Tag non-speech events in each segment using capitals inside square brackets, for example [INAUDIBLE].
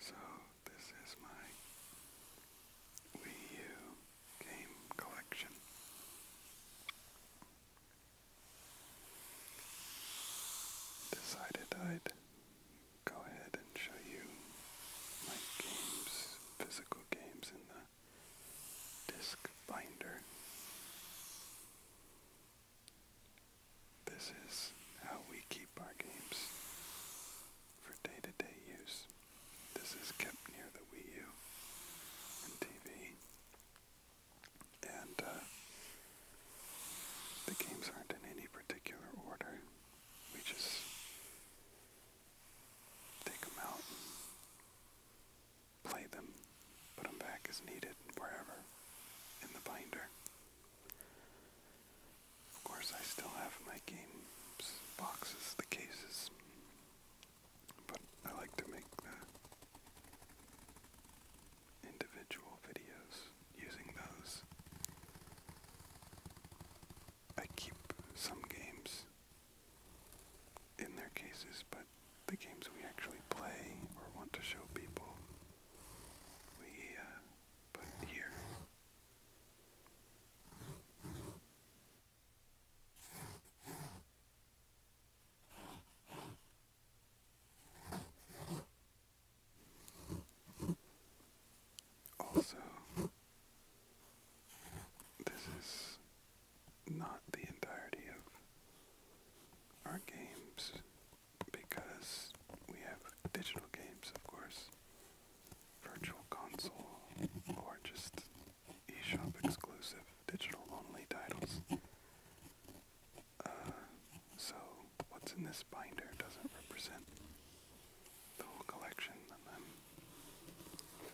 So, this is my Wii U game collection. Decided I'd go ahead and show you my games, physical games in the disc binder. This is how we keep our games for day to day use. This is kept near the Wii U and TV. And uh, the games aren't in any particular order. We just take them out play them, put them back as needed wherever in the binder. Of course, I still have my games boxes, the cases, but I like to make uh, individual videos using those. I keep some games in their cases, but the games we actually play or want to show people, we uh, put here. Also, this is not the entirety of our games because we have digital games, of course, virtual console, or just eShop exclusive digital only titles. Uh, so, what's in this binder doesn't represent the whole collection, and I'm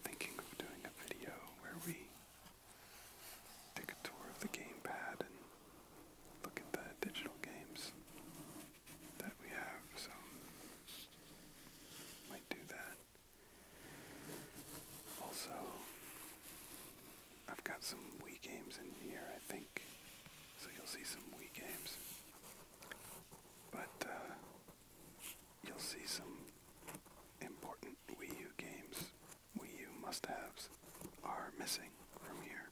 thinking of doing a video where we take a tour of the gamepad and look at the digital games that we have, so might do that. Also, I've got some Wii games in here, I think, so you'll see some Wii games. But uh, you'll see some important Wii U games, Wii U must-haves, are missing from here.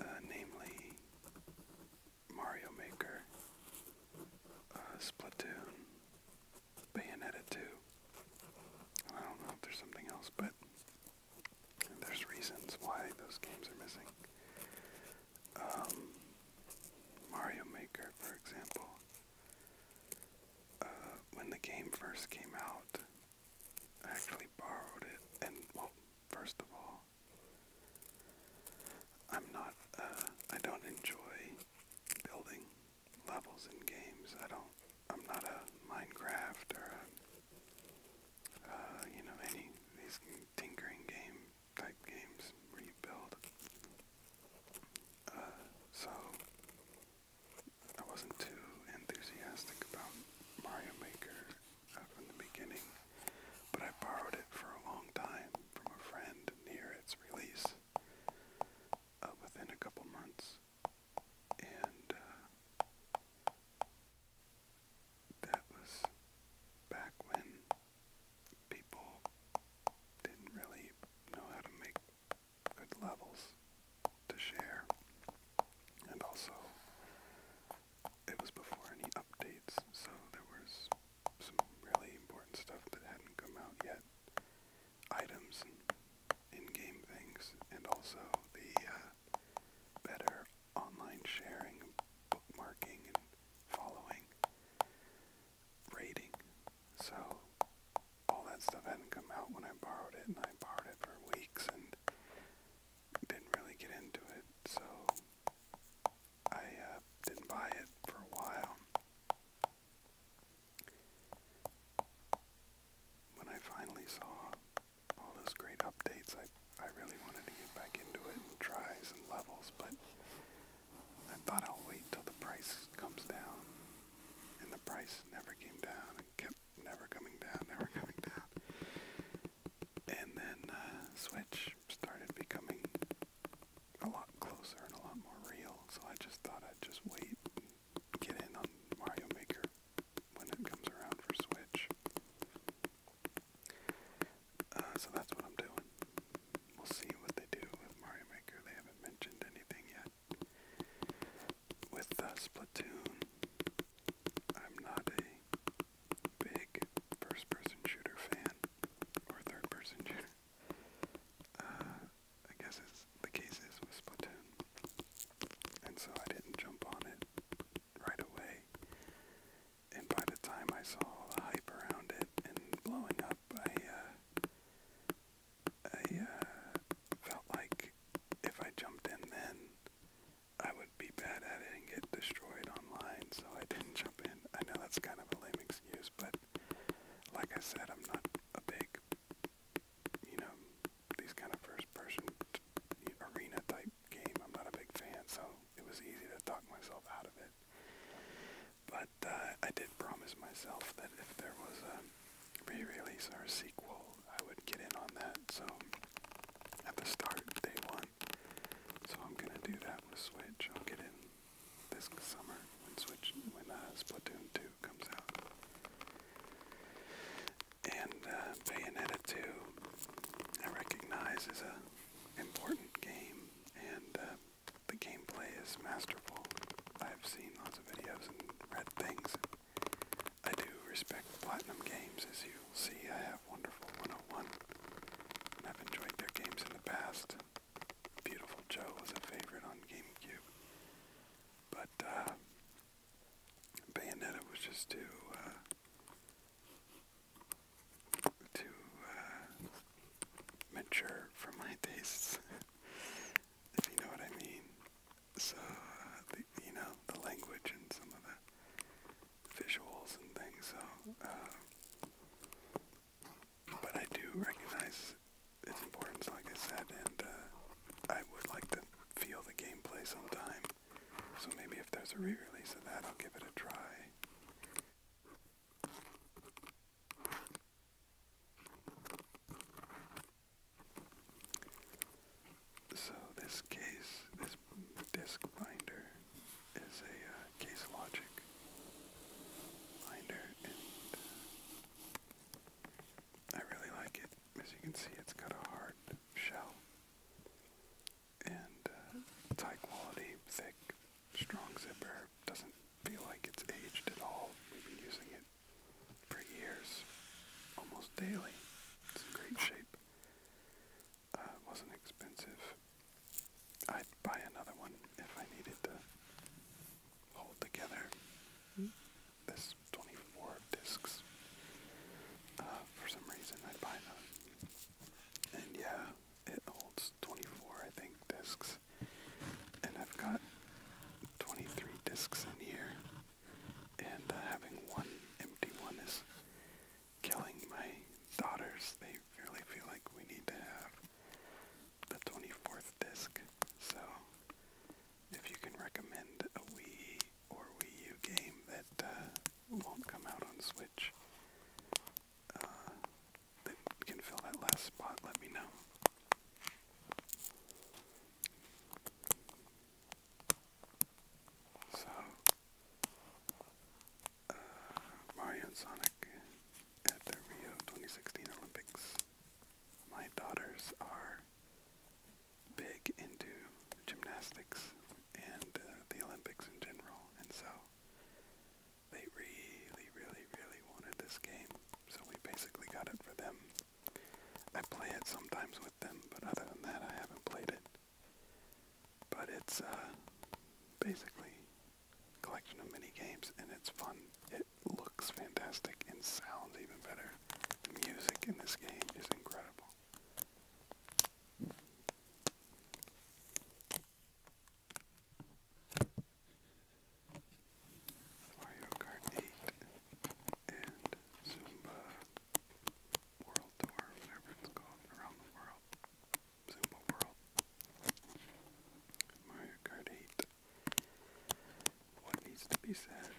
Uh, namely, Mario Maker, uh, Splatoon, Bayonetta 2. I don't know if there's something else, but there's reasons why those games are missing. Um, Mario Maker, for example, uh, when the game first came out, I actually borrowed it, and first of all, I'm not, uh, I don't enjoy building levels in games. I don't, I'm not a Minecraft or a, uh, you know, any these tinkering game type games where you build. Uh, so, I wasn't too enthusiastic about Mario Maker uh, from the beginning but I borrowed it for a long time from a friend near its release uh, within a couple months. And uh, that was back when people didn't really know how to make good levels to share. And also, it was before any updates, so there was some really important stuff that hadn't come out yet. Items and in-game things, and also the uh, better online sharing, bookmarking, and following, rating. So all that stuff hadn't come out when I borrowed it, and I borrowed it for weeks and didn't really get into it. So I uh, didn't buy it for a while. When I finally saw all those great updates, I I really wanted to get back into it and tries and levels, but I thought I'll wait till the price comes down. And the price never came down and kept never coming down, [LAUGHS] never coming down. And then uh, Switch started becoming a lot closer and a lot more real, so I just thought I'd just wait and get in on Mario Maker when it comes around for Switch. Uh, so that's what I'm doing. We'll see what they do with Mario Maker. They haven't mentioned anything yet. With uh, Splatoon, I'm not a big first person shooter fan or third person [LAUGHS] shooter uh, I guess the case is with And so I didn't jump on it right away. And by the time I saw the hype around it and blowing up, I, uh, I uh, felt like if I jumped in then, I would be bad at it and get destroyed online, so I didn't jump in. I know that's kind of a lame excuse, but like I said, I'm not a big, you know, these kind of first-person arena type game. I'm not a big fan, so it was easy to talk myself out of it. But uh, I did promise myself that if there was a re-release or a sequel, I would get in on that. So at the start, day one. So I'm gonna do that with Switch. I'll get in this summer when Switch when uh, Splatoon 2 comes out. And uh, Bayonetta 2, I recognize, as a important game, and uh, the gameplay is masterful. I've seen lots of videos and read things. I do respect Platinum Games, as you'll see. I have Wonderful 101, and I've enjoyed their games in the past. Beautiful Joe was a favorite on GameCube. But uh, Bayonetta was just too, uh, too uh, mature for my tastes, [LAUGHS] if you know what I mean. So, uh, the, you know, the language and some of the visuals and things. So, uh, but I do recognize its importance, like I said, and uh, I would like to feel the gameplay sometime. So maybe if there's a re-release of that, I'll give it a try. So this case, this disc binder, is a uh, case logic liner, and uh, I really like it. As you can see, it's got a hard shell and uh, it's high quality, thick, strong zipper. Doesn't feel like it's aged at all. We've been using it for years, almost daily. It's in great shape. Uh, wasn't expensive. I'd buy another one if I needed to hold together. This 24 discs. Uh, for some reason, I buy them. And yeah, it holds 24, I think, discs. And I've got 23 discs in here. And uh, having one empty one is killing my daughters. They really feel like we need to have the 24th disc. So, if you can recommend a Wii or Wii U game that uh, won't come out on Switch, uh, that can fill that last spot, let me know. So, uh, Mario and Sonic back at the Rio 2016 Olympics. My daughters are big into gymnastics and uh, the Olympics in general, and so they really, really, really wanted this game, so we basically got it for them. I play it sometimes with them, but other than that, I haven't played it. But it's uh, basically collection of mini games, and it's fun. It looks fantastic and sounds even better. The music in this game is incredible. Mario Kart 8 and Zumba World Tour, whatever it's called, around the world. Zumba World. Mario Kart 8 what needs to be said.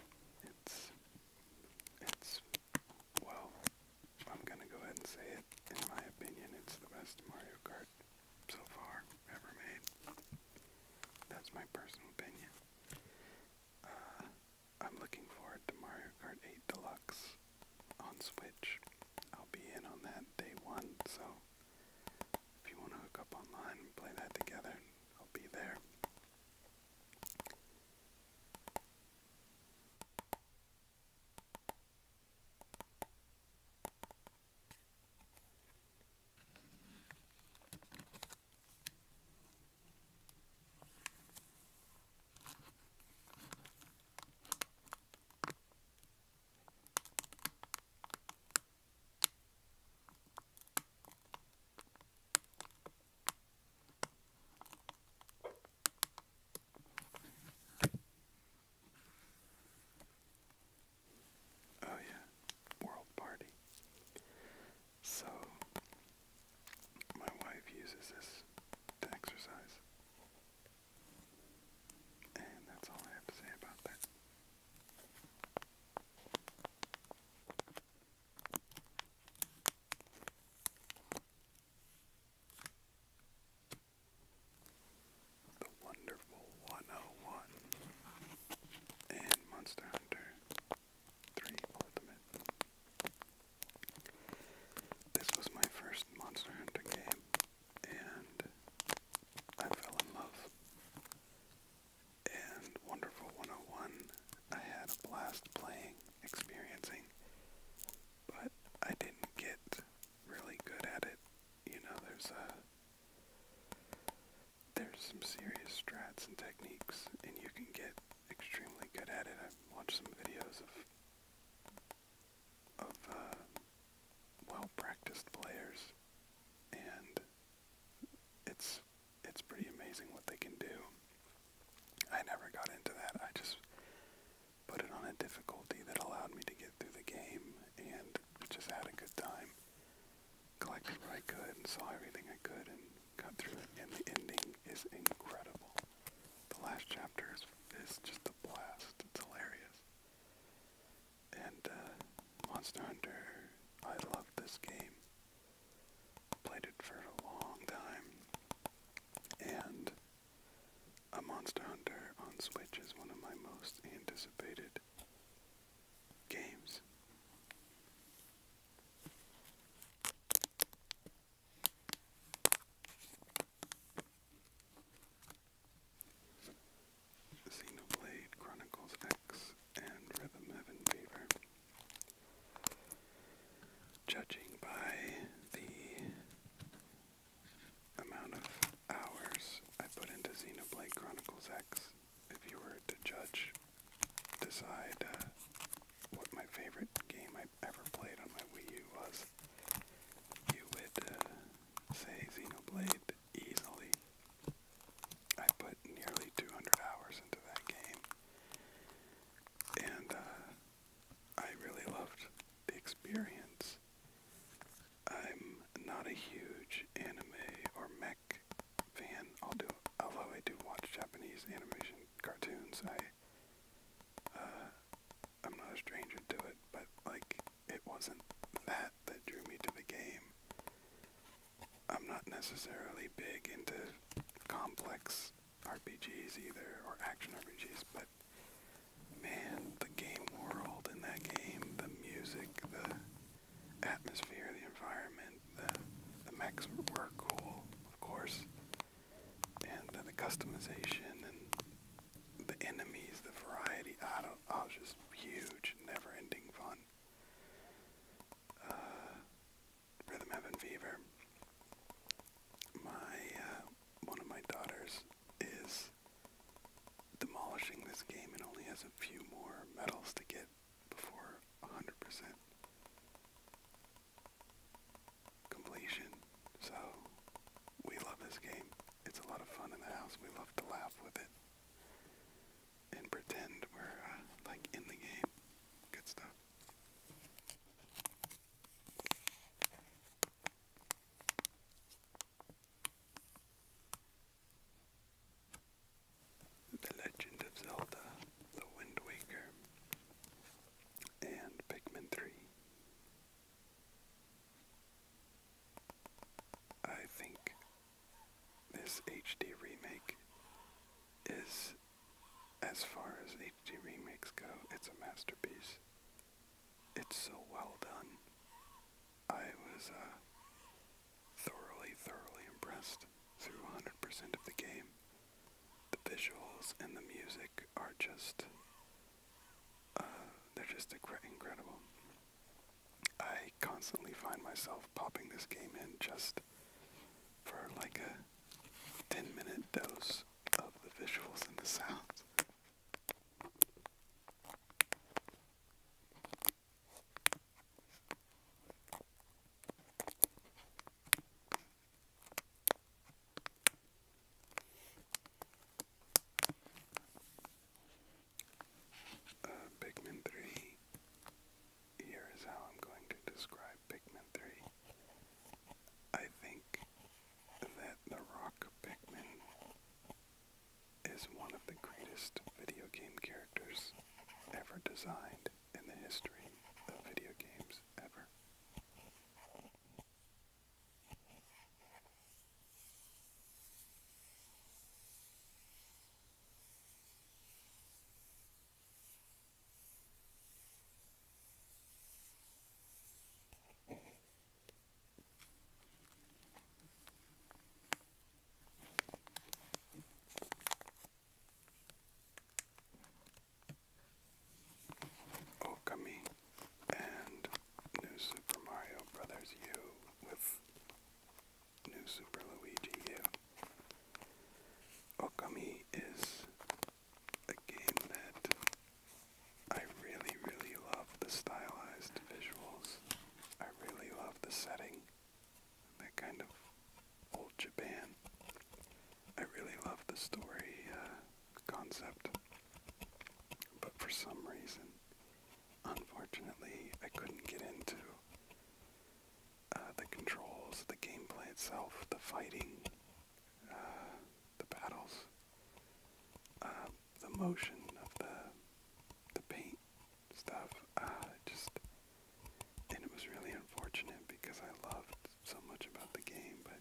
It's, it's, well, I'm gonna go ahead and say it. In my opinion, it's the best Mario Kart so far ever made. That's my personal opinion. Uh, I'm looking forward to Mario Kart 8 Deluxe on Switch. I'll be in on that day one, so if you want to hook up online and play that together, I'll be there. Oh, yeah, World Party. So, my wife uses this to exercise. And that's all I have to say about that. The Wonderful 101 and Monster Hunter 3 Ultimate. This was my first Monster Hunter game and I fell in love. And Wonderful 101, I had a blast playing, experiencing, but I didn't get really good at it. You know, there's a there's some serious strats and techniques, and you can get extremely good at it. I've watched some videos of of uh, well practiced players and it's it's pretty amazing what they can do. I never got into that. I just put it on a difficulty that allowed me to get through the game and just had a good time. Collected what I could and saw everything I could and got through it. And the ending is incredible. The last chapter is, is just a blast. It's hilarious. And uh, Monster Hunter, I love this game. Played it for a long time. And a Monster Hunter on Switch is one of my most anticipated games. Xenoblade Chronicles X and Rhythm Heaven Fever. Judging by the amount of hours I put into Xenoblade Chronicles X, if you were to judge, decide uh, what my favorite game I ever played on my Wii U was, you would uh, say Xenoblade easily. I put nearly 200 hours into that game, and uh, I really loved the experience. I'm not a huge anime or mech fan, although, I do watch Japanese animation cartoons. I uh, I'm not a stranger to it, but like it wasn't that that drew me to the game. I'm not necessarily big into complex RPGs either, or action RPGs, but man, the game world in that game, the music, the atmosphere, the environment, the, the mechs were cool, of course, and uh, the customization and the enemies, the variety, I don't, I was just huge, never ending fun on uh, Rhythm Heaven Fever. My uh, one of my daughters is demolishing this game and only has a few more medals to get before 100% completion. So we love this game. It's a lot of fun in the house. We love to laugh with it and pretend we're uh, like in the game. Good stuff. The Legend of Zelda, The Wind Waker, and Pikmin 3. I think this HD remake is, as far as HD remakes go, it's a masterpiece. It's so well done. I was uh, thoroughly, thoroughly impressed through 100% of the game. The visuals and the music are just, uh, they're just incredible. I constantly find myself popping this game in just for like a 10 minute dose of the visuals and the sounds uh, Pikmin 3. Here is how I'm going to describe Pikmin 3. I think that the Rock Pikmin is one of the greatest video game characters ever designed in the history of video games ever. Okami and New Super Mario Brothers U with New Super Luigi U. Okami is a game that I really, really love the stylized visuals. I really love the setting. That kind of old Japan. I really love the story uh, concept. But for some reason, Unfortunately, I couldn't get into uh, the controls, the gameplay itself, the fighting, uh, the battles, uh, the motion of the the paint stuff. just and it was really unfortunate because I loved so much about the game, but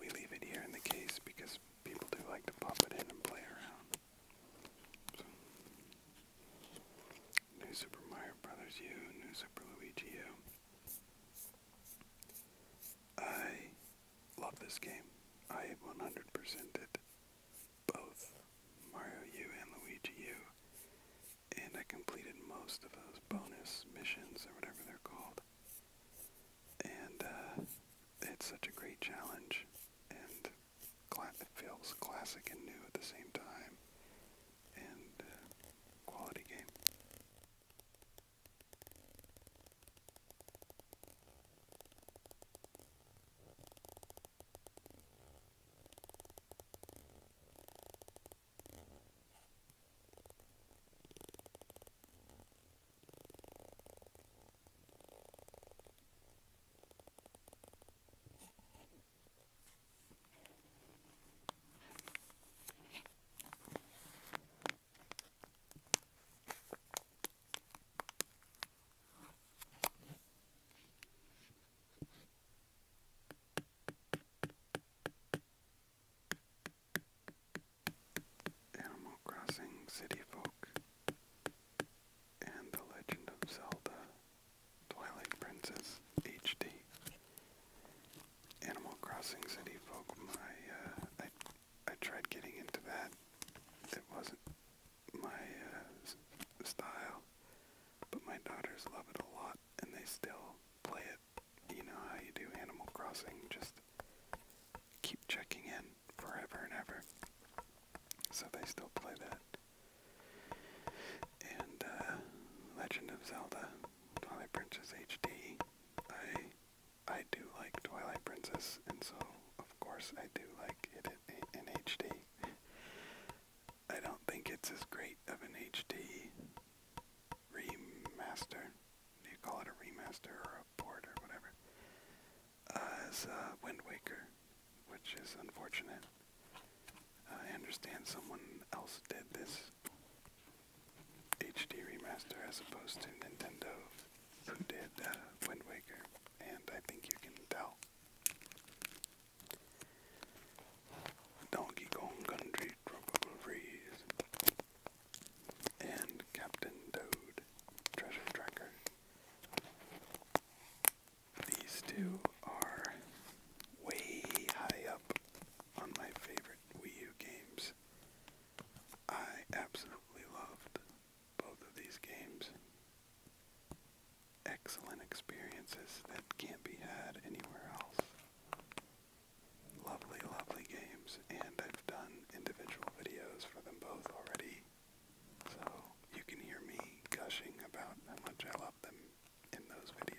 we leave it here in the case because people do like to pop it in and play around. New Super Mario Brothers U, New Super Luigi U. I love this game. I 100% did both Mario U and Luigi U, and I completed most of those bonus missions or whatever they're called. And uh, it's such a great challenge, and it feels classic and new at the same time, and uh, quality game. Animal Crossing City Folk and The Legend of Zelda Twilight Princess HD. Animal Crossing City Folk, my, uh, I, I tried getting into that. It wasn't my uh, style, but my daughters love it a lot, and they still play it. You know how you do Animal Crossing, just keep checking in forever and ever. So they still play that. And uh, Legend of Zelda, Twilight Princess HD. I I do like Twilight Princess, and so of course I do like it in HD. I don't think it's as great of an HD remaster. you call it a remaster or a port or whatever? uh, Wind Waker, which is unfortunate. I understand someone else did this HD remaster as opposed to Nintendo, who did uh, Wind Waker, and I think you can tell. Donkey Kong Country Tropical Freeze and Captain Toad Treasure Tracker these two are way high up on my favorite Wii U games. I absolutely loved both of these games. Excellent experiences that can't be had anywhere else. Lovely, lovely games, and I've done individual videos for them both already. So you can hear me gushing about how much I love them in those videos.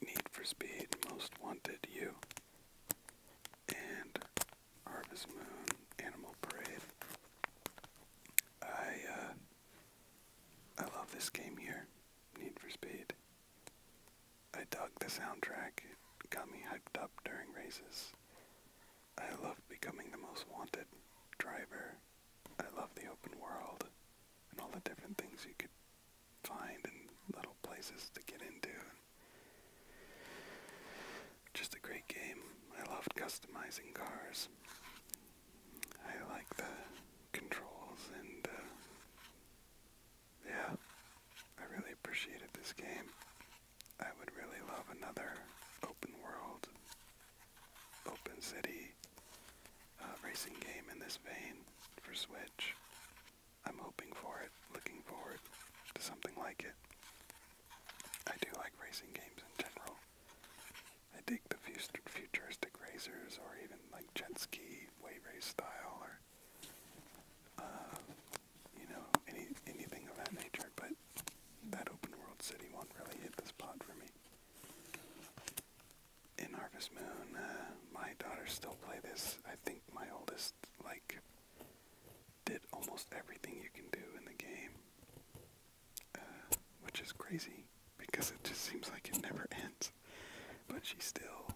Need for Speed, Most Wanted, You, and Harvest Moon, Animal Parade. I uh, I love this game here, Need for Speed. I dug the soundtrack; it got me hyped up during races. I love becoming the most wanted driver. I love the open world and all the different things you could find in little places to get into. Just a great game. I loved customizing cars. I like the controls and uh, yeah, I really appreciated this game. I would really love another open world, open city uh, racing game in this vein for Switch. I'm hoping for it, looking forward to something like it. I do like racing games in general. I dig the futuristic racers or even like jet ski, way race style or uh, you know, any anything of that nature, but that open world city one really hit the spot for me. In Harvest Moon, uh, my daughters still play this. I think my oldest, like, did almost everything you can do in the game, uh, which is crazy because it just seems like it never [LAUGHS] ends. But she still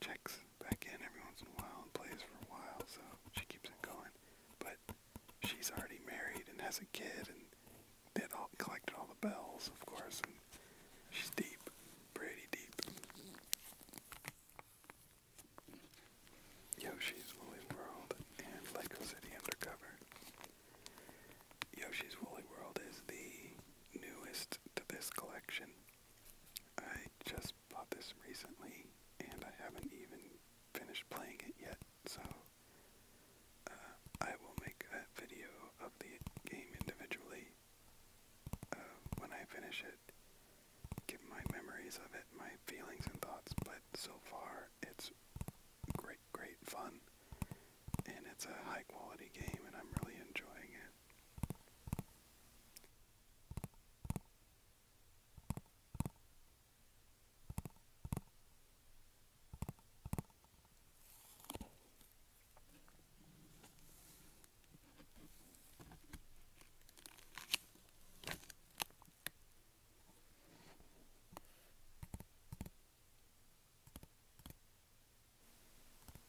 checks back in every once in a while and plays for a while, so she keeps it going but she's already married and has a kid and did all collected all the bells, of course, and she's deep, pretty deep. Yoshi's Woolly World and Lego City Undercover. Yoshi's Woolly World is the newest to this collection. I just just bought this recently, and I haven't even finished playing it yet, so uh, I will make a video of the game individually uh, when I finish it, give my memories of it, my feelings and thoughts, but so far it's great, great fun, and it's a high quality game, and I'm really enjoying it.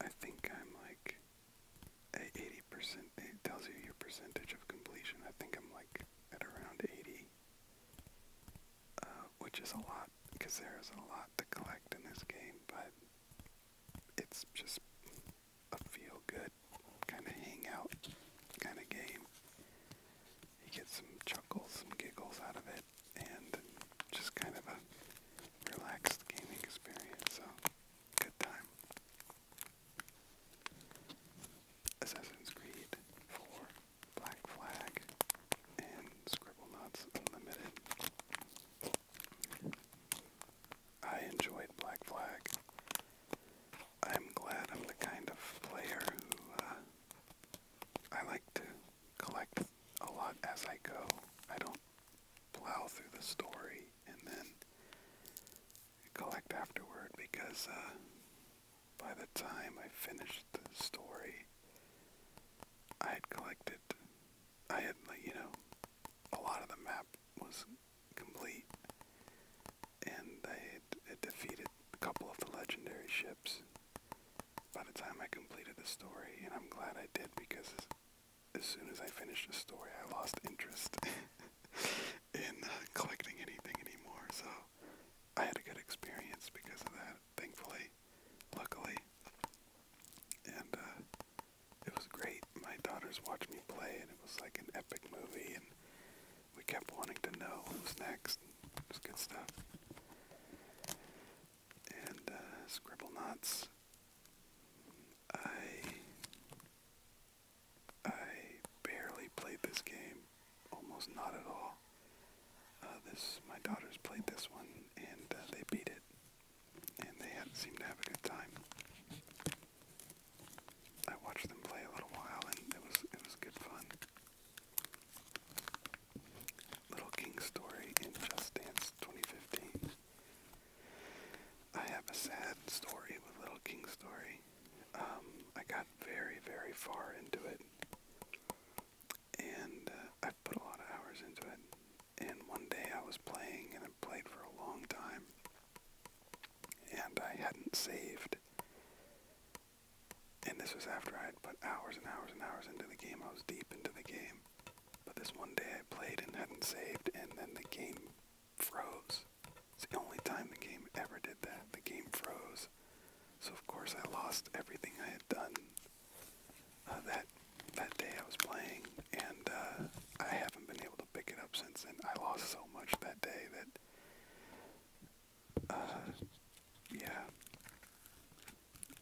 I think I'm like 80 80 percent. It tells you your percentage of completion. I think I'm like at around 80, uh, which is a lot because there is a lot to collect in this game, but it's just a feel-good kind of hangout kind of game. You get some chuckles, some giggles out of it, and just kind of a relaxed gaming experience. So, good time. Assassin's Creed 4, Black Flag, and Scribble Unlimited. I enjoyed Black Flag. I'm glad I'm the kind of player who uh, I like to collect a lot as I go. I don't plow through the story and then collect afterward because uh, by the time I finished the story, I had collected, I had, you know, a lot of the map was complete, and I had defeated a couple of the legendary ships by the time I completed the story, and I'm glad I did because as soon as I finished the story, I lost interest. [LAUGHS] in uh, collecting anything anymore. So I had a good experience because of that, thankfully, luckily, and uh, it was great. My daughters watched me play, and it was like an epic movie, and we kept wanting to know what was next. It was good stuff. And uh, Scribble Knots. I I barely played this game, almost not at all. Uh, this my daughters played this one and uh, they beat it, and they had, seemed to have a good time. I watched them play a little while, and it was it was good fun. Little King Story in Just Dance 2015. I have a sad story with Little King Story. Um, I got very, very far into it, and uh, i put a lot of hours into it. And one day I was playing, and I played for a long time, and I hadn't saved. And this was after I had put hours and hours and hours into the game. I was deep into the game. But this one day I played and hadn't saved, and then the game froze. It's the only time the game ever did that. The game froze. So of course I lost everything I had done uh, that that day I was playing, and uh, I haven't been able to pick it up since then. I lost so much that day that, uh, yeah.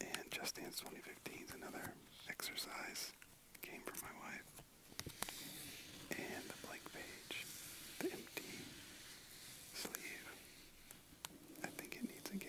And Just Dance 2015 is another exercise game for my wife, and the blank page the empty sleeve. I think it needs a game.